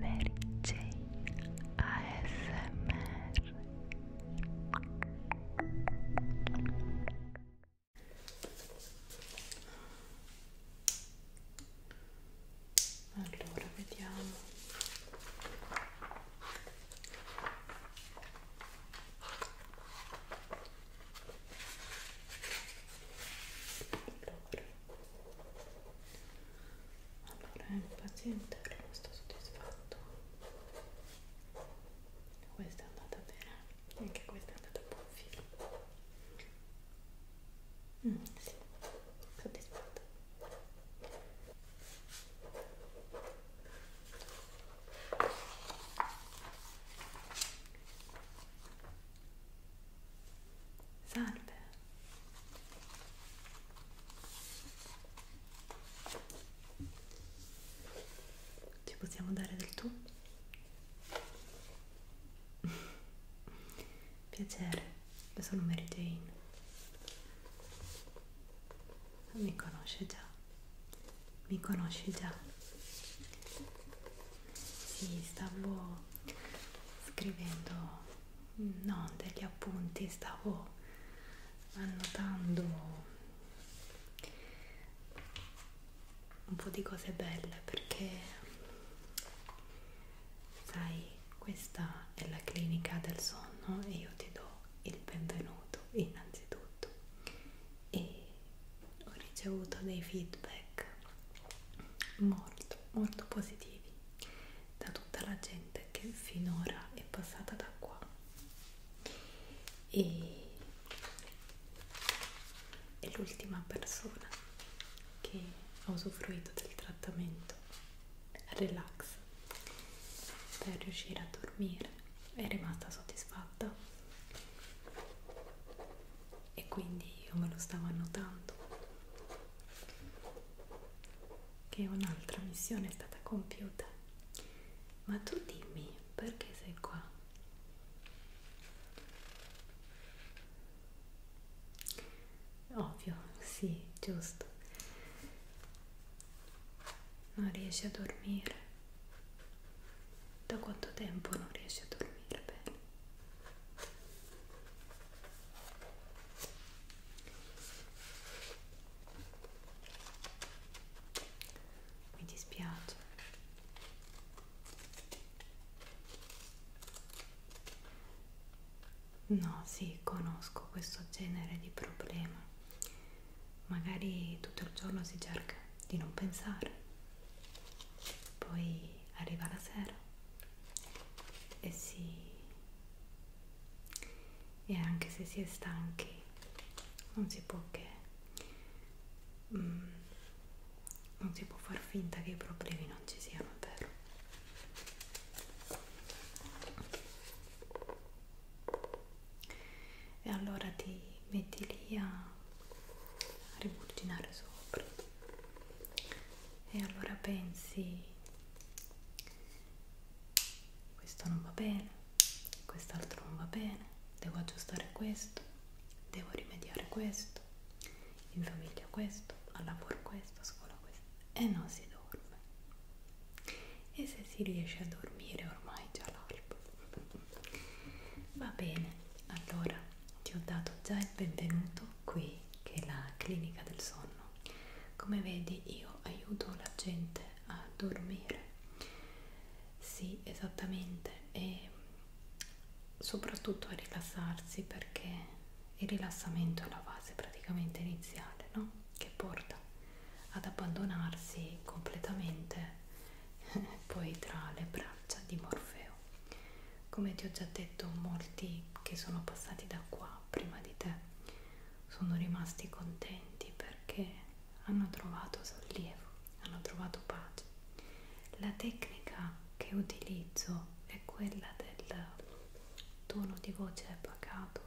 Mary Jane ASMR Allora vediamo allora allora il eh, paziente è rimasto soddisfatto questa è andata bene anche questa è andata a buon filo mm, sì, soddisfatto Salve. Ci possiamo dare del tu? Piacere, io sono Mary Jane. Mi conosce già. Mi conosci già. Sì, stavo scrivendo non degli appunti, stavo annotando un po' di cose belle perché sai questa è la clinica del sonno e io ti do il benvenuto innanzitutto e ho ricevuto dei feedback molto molto positivi arrivi da tutta la gente che finora è passata da qua e è l'ultima persona che ha usufruito del trattamento relax per riuscire a dormire è rimasta soddisfatta e quindi io me lo stavo annotando che un'altra missione è stata compiuta ma tu dimmi perché sei qua ovvio sì giusto non riesci a dormire da quanto tempo non riesci a dormire bene mi dispiace no sì conosco questo genere di problema magari tutto il giorno si cerca di non pensare poi arriva la sera e si e anche se si è stanchi non si può che mm, non si può far finta che i problemi non ci siano è vero e allora ti metti lì a riburginare sopra e allora pensi questo non va bene, quest'altro non va bene, devo aggiustare questo, devo rimediare questo, in famiglia questo, al lavoro questo, a scuola questo e non si dorme. E se si riesce a dormire ormai già l'alba. Va bene, allora ti ho dato già il benvenuto qui che è la clinica del sonno. Come vedi io aiuto la gente a dormire. Sì, esattamente, e soprattutto a rilassarsi perché il rilassamento è la fase praticamente iniziale, no? Che porta ad abbandonarsi completamente poi tra le braccia di Morfeo come ti ho già detto molti che sono passati da qua prima di te sono rimasti contenti perché hanno trovato sollievo hanno trovato pace la tecnica che utilizzo è quella del tono di voce pacato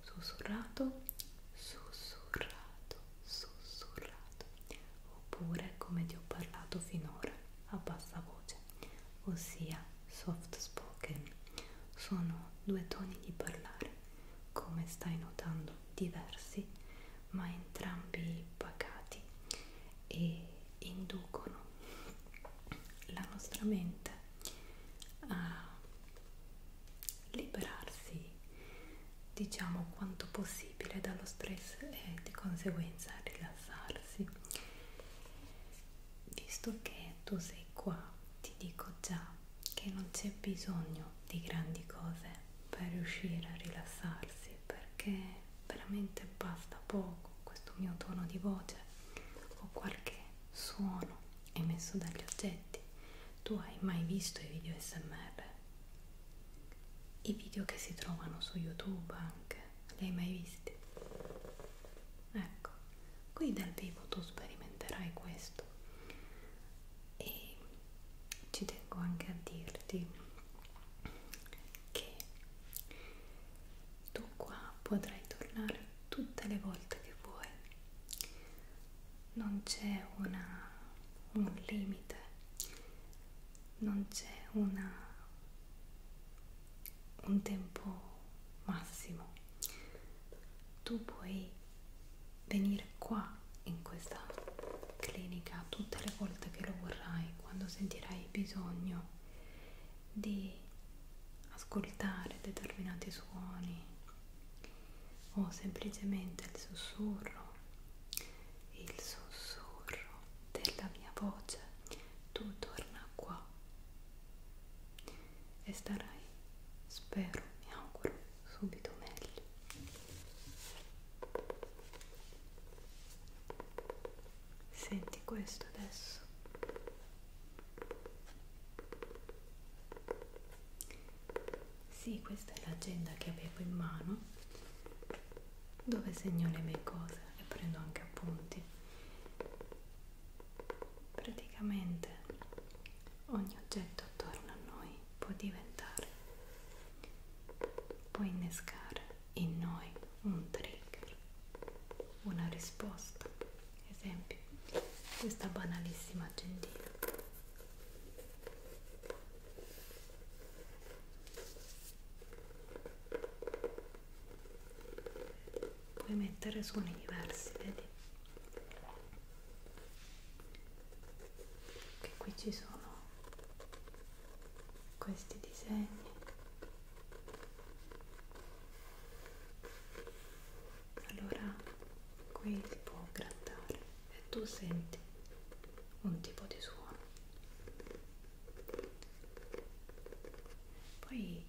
sussurrato sussurrato sussurrato oppure come ti ho parlato finora a bassa voce voce, cioè, ossia soft spoken, sono due toni di parlare, come stai notando, diversi, ma entrambi pacati e inducono la nostra mente a liberarsi diciamo quanto possibile dallo stress e di conseguenza rilassarsi visto che tu sei qua ti dico già che non c'è bisogno di grandi cose per riuscire a rilassarsi perché veramente basta poco questo mio tono di voce o qualche suono emesso dagli oggetti tu hai mai visto i video smr i video che si trovano su youtube anche li hai mai visti? Ecco, qui dal vivo tu sperimenterai questo e ci tengo anche a dirti che tu qua potrai tornare tutte le volte che vuoi non c'è un limite non c'è una un tempo massimo tu puoi venire qua in questa clinica tutte le volte che lo vorrai quando sentirai bisogno di ascoltare determinati suoni o semplicemente il sussurro il sussurro della mia voce, tu torna qua e starai, spero, mi auguro, subito meglio. Senti questo adesso. Sì, questa è l'agenda che avevo in mano, dove segno le mie cose e prendo anche appunti praticamente ogni oggetto attorno a noi può diventare può innescare in noi un trigger una risposta esempio questa banalissima agendina puoi mettere suoni diversi vedi che qui ci sono questi disegni allora qui si può grattare e tu senti un tipo di suono poi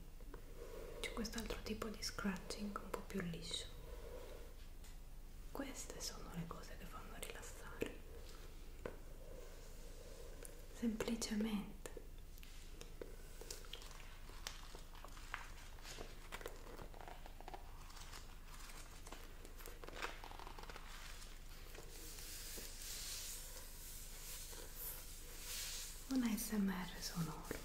c'è quest'altro tipo di scratching un po' più liscio queste sono le cose che fanno rilassare semplicemente un ASMR sonoro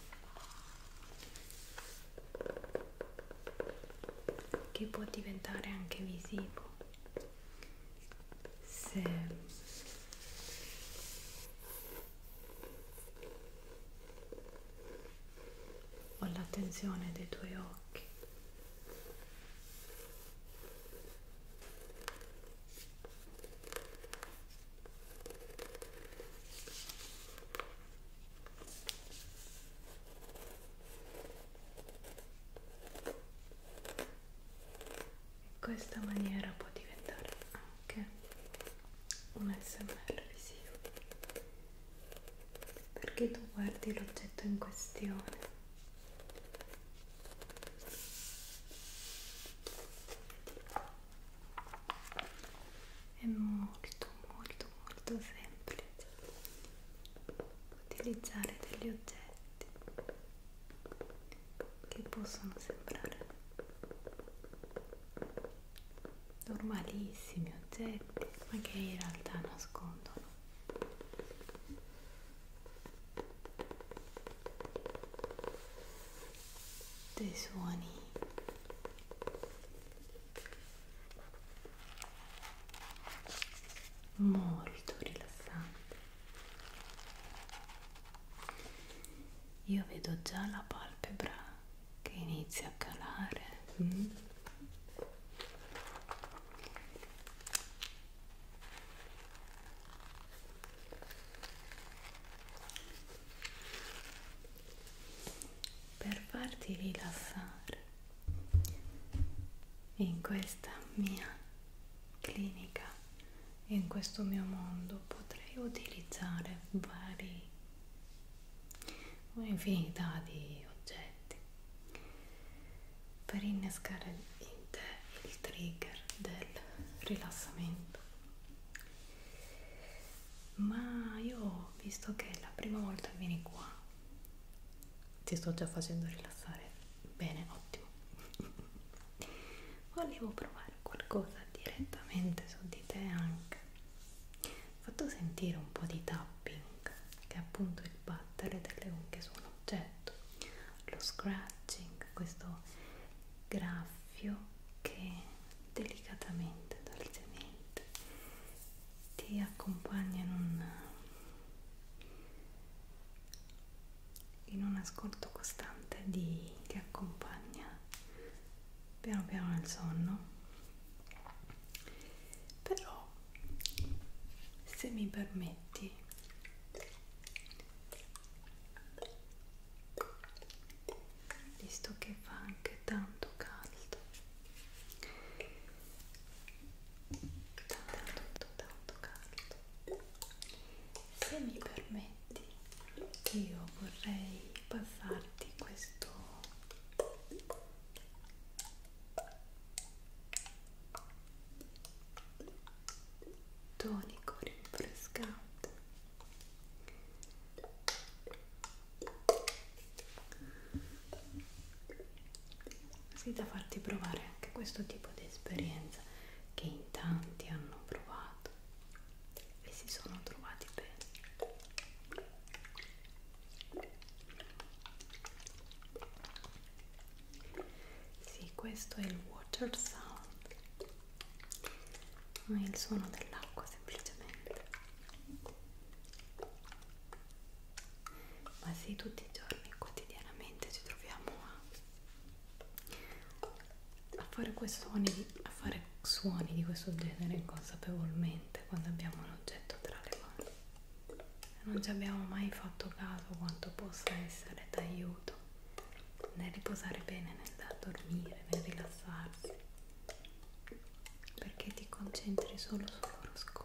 che può diventare anche visivo se ho l'attenzione dei tuoi occhi in questa maniera può diventare anche un smr visivo perché tu guardi l'oggetto in questione è molto molto molto semplice utilizzare degli oggetti che possono sembrare normalissimi oggetti ma che in realtà nascondono dei suoni molto rilassanti io vedo già la palpebra che inizia a calare mm per farti rilassare in questa mia clinica e in questo mio mondo potrei utilizzare vari un'infinità di oggetti per innescare in te il trigger del rilassamento ma io visto che è la prima volta che vieni qua ti sto già facendo rilassare bene ottimo volevo provare qualcosa direttamente su di te anche ho fatto sentire un po' di tapping che è appunto il battere delle unghie su un oggetto lo scratching questo grafo soffio che delicatamente, dolcemente ti accompagna in un, in un ascolto costante di, che accompagna piano piano il sonno però se mi permetti visto che fa anche tanto caldo tanto tanto tanto caldo se mi permetti io vorrei passarti questo tonico rinfrescante così da farti provare anche questo tipo di esperienza che in tanti hanno provato e si sono trovati bene sì questo è il water sound ma il suono dell'acqua semplicemente ma sì tutti i giorni quotidianamente ci troviamo a, a fare quei suoni di, a fare suoni di questo genere inconsapevolmente quando abbiamo un oggetto tra le mani non ci abbiamo mai fatto caso quanto possa essere d'aiuto nel riposare bene, nel dormire, nel rilassarsi, perché ti concentri solo sul loro ascolto.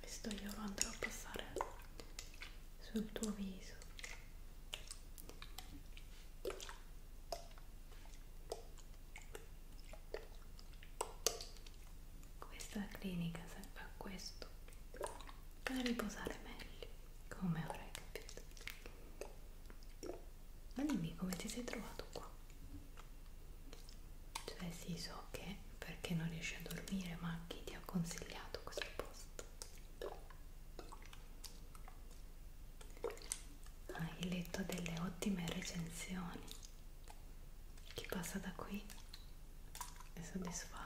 Questo io lo andrò a passare sul tuo viso questa clinica serve a questo per riposare meglio come avrai capito ma dimmi come ti sei trovato qua cioè sì so che perché non riesci a dormire ma chi ti ha consigliato questo posto hai letto delle ottime recensioni chi passa da qui è soddisfatto.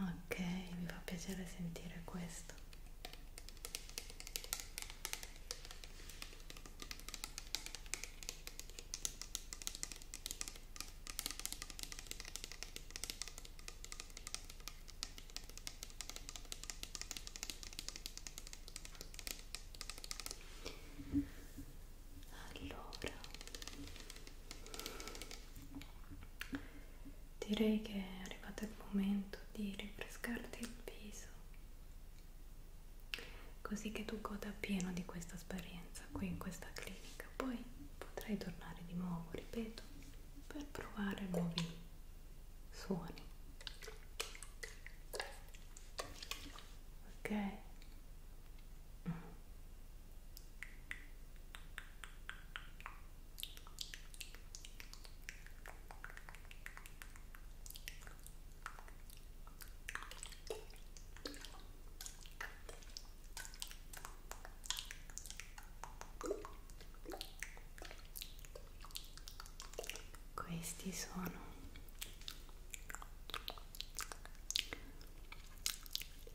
Ok, mi fa piacere sentire questo allora direi che è arrivato il momento di rinfrescarti il viso così che tu goda pieno di questa esperienza qui in questa clinica poi potrai tornare di nuovo ripeto per provare nuovi suoni ok mm. Questi sono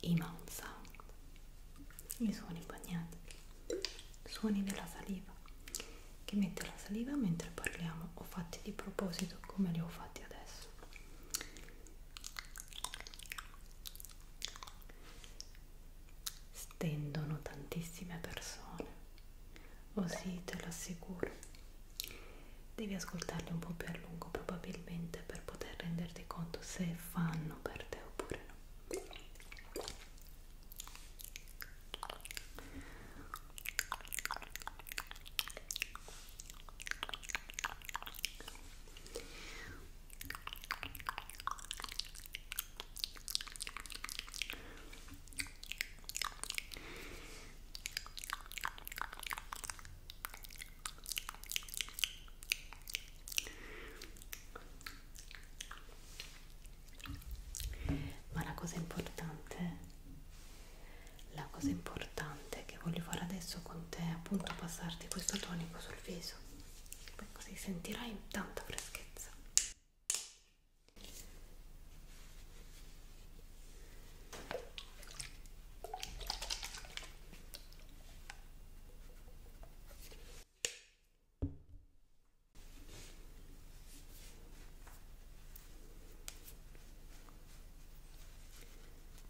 i mouth sound, i suoni bagnati, suoni della saliva che mette la saliva mentre parliamo. Ho fatti di proposito come li ho fatti adesso stendono tantissime persone, oh sì, te lo assicuro. Devi ascoltarli un po' più a lungo probabilmente per poter renderti conto se fanno per te oppure no. Ma la cosa importante, la cosa importante che voglio fare adesso con te è appunto passarti questo tonico sul viso poi così sentirai tanta freschezza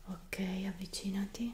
Ok, avvicinati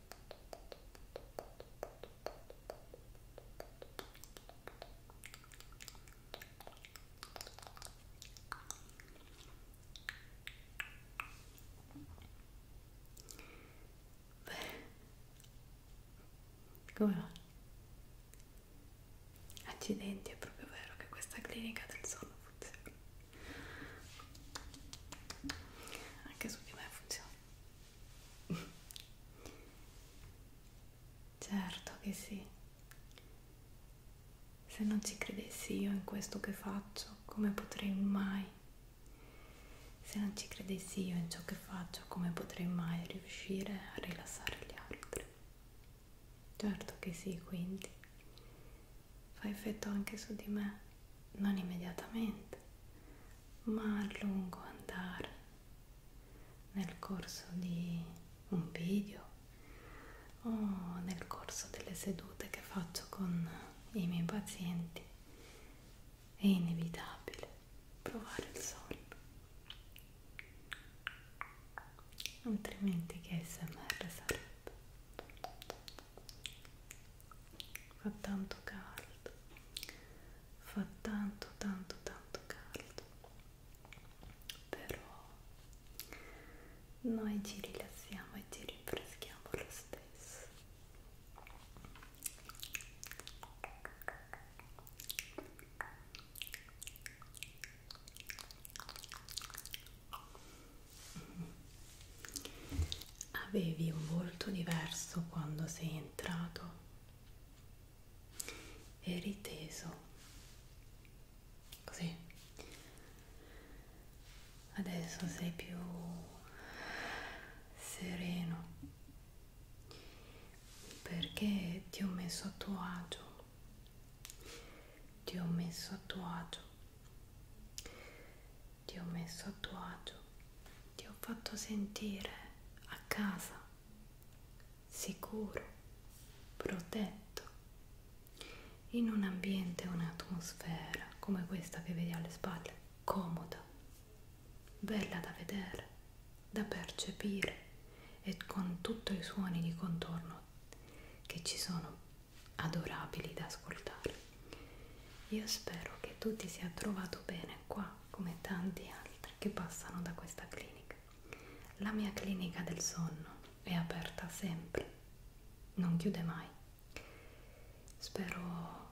Come va? Accidenti, è proprio vero che questa clinica del sonno funziona. Anche su di me funziona. Certo che sì. Se non ci credessi io in questo che faccio, come potrei mai? Se non ci credessi io in ciò che faccio, come potrei mai riuscire a rilassare gli altri? Certo che sì, quindi fa effetto anche su di me non immediatamente, ma a lungo andare, nel corso di un video o nel corso delle sedute che faccio con i miei pazienti, è inevitabile provare il sonno. Altrimenti che ASMR sarebbe? fa tanto caldo fa tanto tanto tanto caldo però noi ci rilassiamo e ci rinfreschiamo lo stesso avevi un volto diverso quando sei entrato, eri teso, così, adesso sei più sereno perché ti ho messo a tuo agio ti ho messo a tuo agio ti ho messo a tuo agio, ti ho fatto sentire a casa, sicuro, protetto, in un ambiente, un'atmosfera come questa che vedi alle spalle, comoda, bella da vedere, da percepire e con tutti i suoni di contorno che ci sono adorabili da ascoltare. Io spero che tu ti sia trovato bene qua come tanti altri che passano da questa clinica. La mia clinica del sonno è aperta sempre, non chiude mai. Spero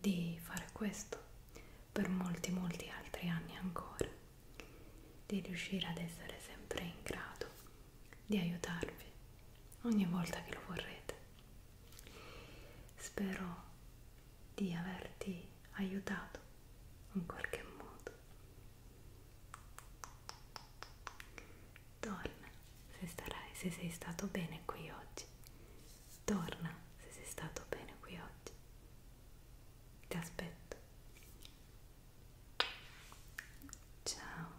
di fare questo per molti molti altri anni ancora, di riuscire ad essere sempre in grado di aiutarvi ogni volta che lo vorrete Spero di averti aiutato in qualche modo. Torna se, starai, se sei stato bene qui oggi. Torna se sei stato bene qui oggi. Ti aspetto. Ciao.